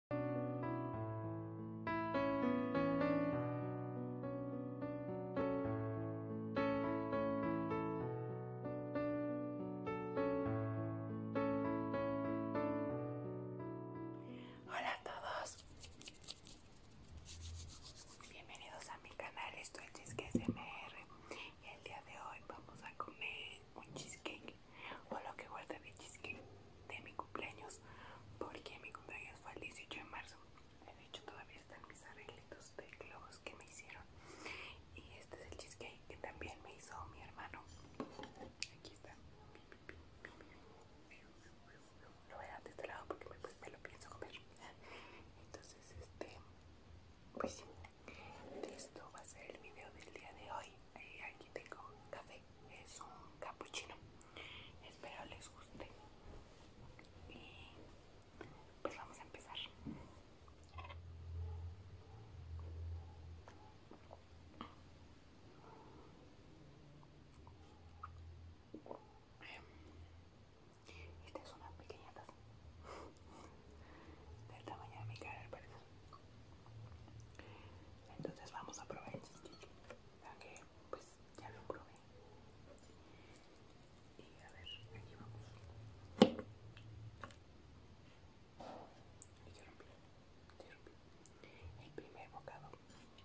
Hola a todos, bienvenidos a mi canal, esto es Chisque y el día de hoy vamos a comer un cheesecake o lo que guardé de cheesecake de mi cumpleaños, porque mi cumpleaños fue el 18 de marzo. De hecho, todavía están mis arreglitos de globos que me hicieron. Y este es el cheesecake que también me hizo mi hermano. Aquí está. Lo voy a dar de este lado porque me, pues, me lo pienso comer. Entonces, este, pues sí, esto va a ser el video del día de hoy y eh, aquí tengo café, es un capuchino, espero les guste y pues vamos a empezar. Esta es una pequeña taza del tamaño de mi cara al parecer entonces vamos a probar el que pues ya lo probé. Y a ver, aquí vamos. Y yo rompí, yo El primer bocado. Ahí está.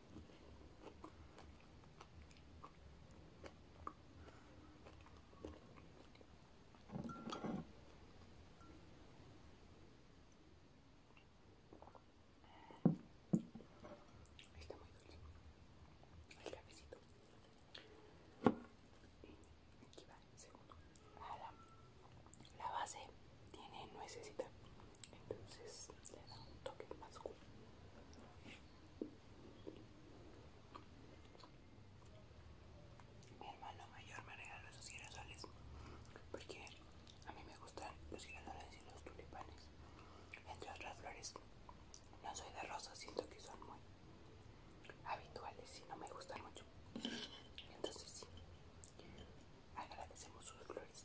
Está muy dulce el cafecito. Aquí va el segundo. Ahora, la base tiene nuecesita entonces le da un toque más cool. Mi hermano mayor me regaló esos girasoles porque a mí me gustan los girasoles y los tulipanes, entre otras flores. No soy de rosas, siento que son muy habituales y no me gustan mucho. Entonces sí, agradecemos sus flores.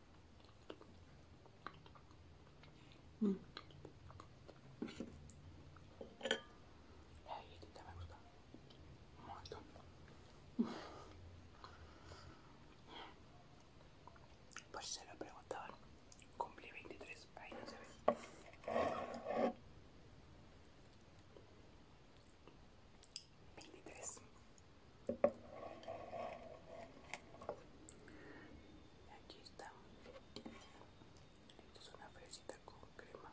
Mm. La galletita me gusta un montón. Pues se lo preguntaban. Cumplí 23, ahí no se ve. 23 Aquí está. Esto es una fresita con crema.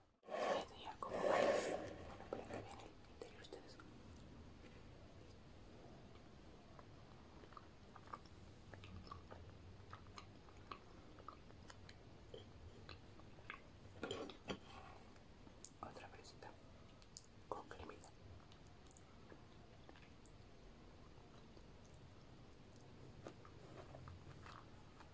tenía como varios. Para que vean el interior ustedes. Otra fresita con cremita.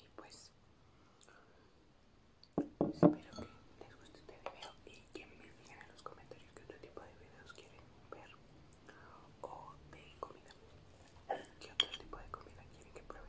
Y pues espero que les guste este video y que me digan en los comentarios qué otro tipo de videos quieren ver o de comida. ¿Qué otro tipo de comida quieren que pruebe?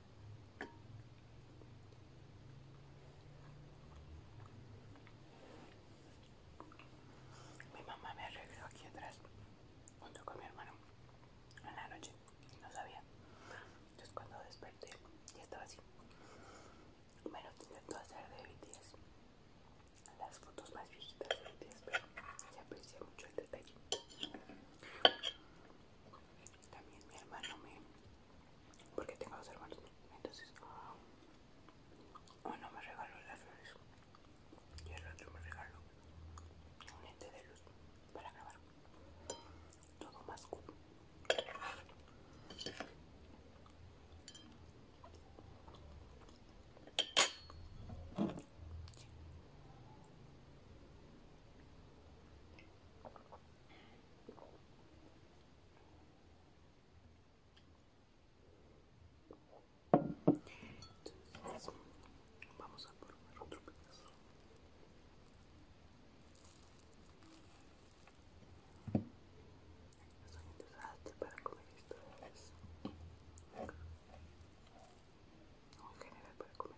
Mi mamá me arregló aquí atrás junto con mi hermano en la noche no sabía. Entonces cuando desperté ya estaba así. Bueno, lo intentó hacer de BTS. Las fotos más viejitas de BTS, pero se aprecia mucho el detalle. También mi hermano me porque tengo dos hermanos. Entonces, uno me regaló las flores y el otro me regaló un lente de luz para grabar todo más cool vamos a poner otro pedazo. Son interesantes para comer esto. o en para comer.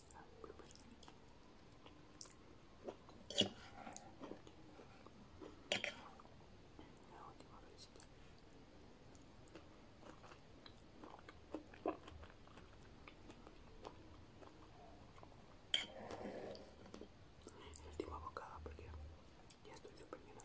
La última vez. El último bocado porque ya estoy super lleno.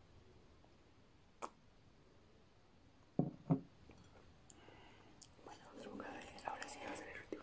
Bueno, otro que ahora sí va a ser el último.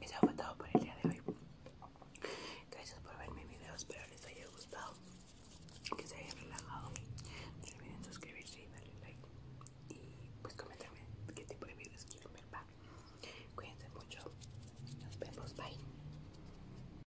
Eso fue todo por el día de hoy. Gracias por ver mi videos espero les haya gustado, que se hayan relajado. No olviden suscribirse y darle like y pues comentarme qué tipo de videos quieren ver. Cuídense mucho. Nos vemos. Bye.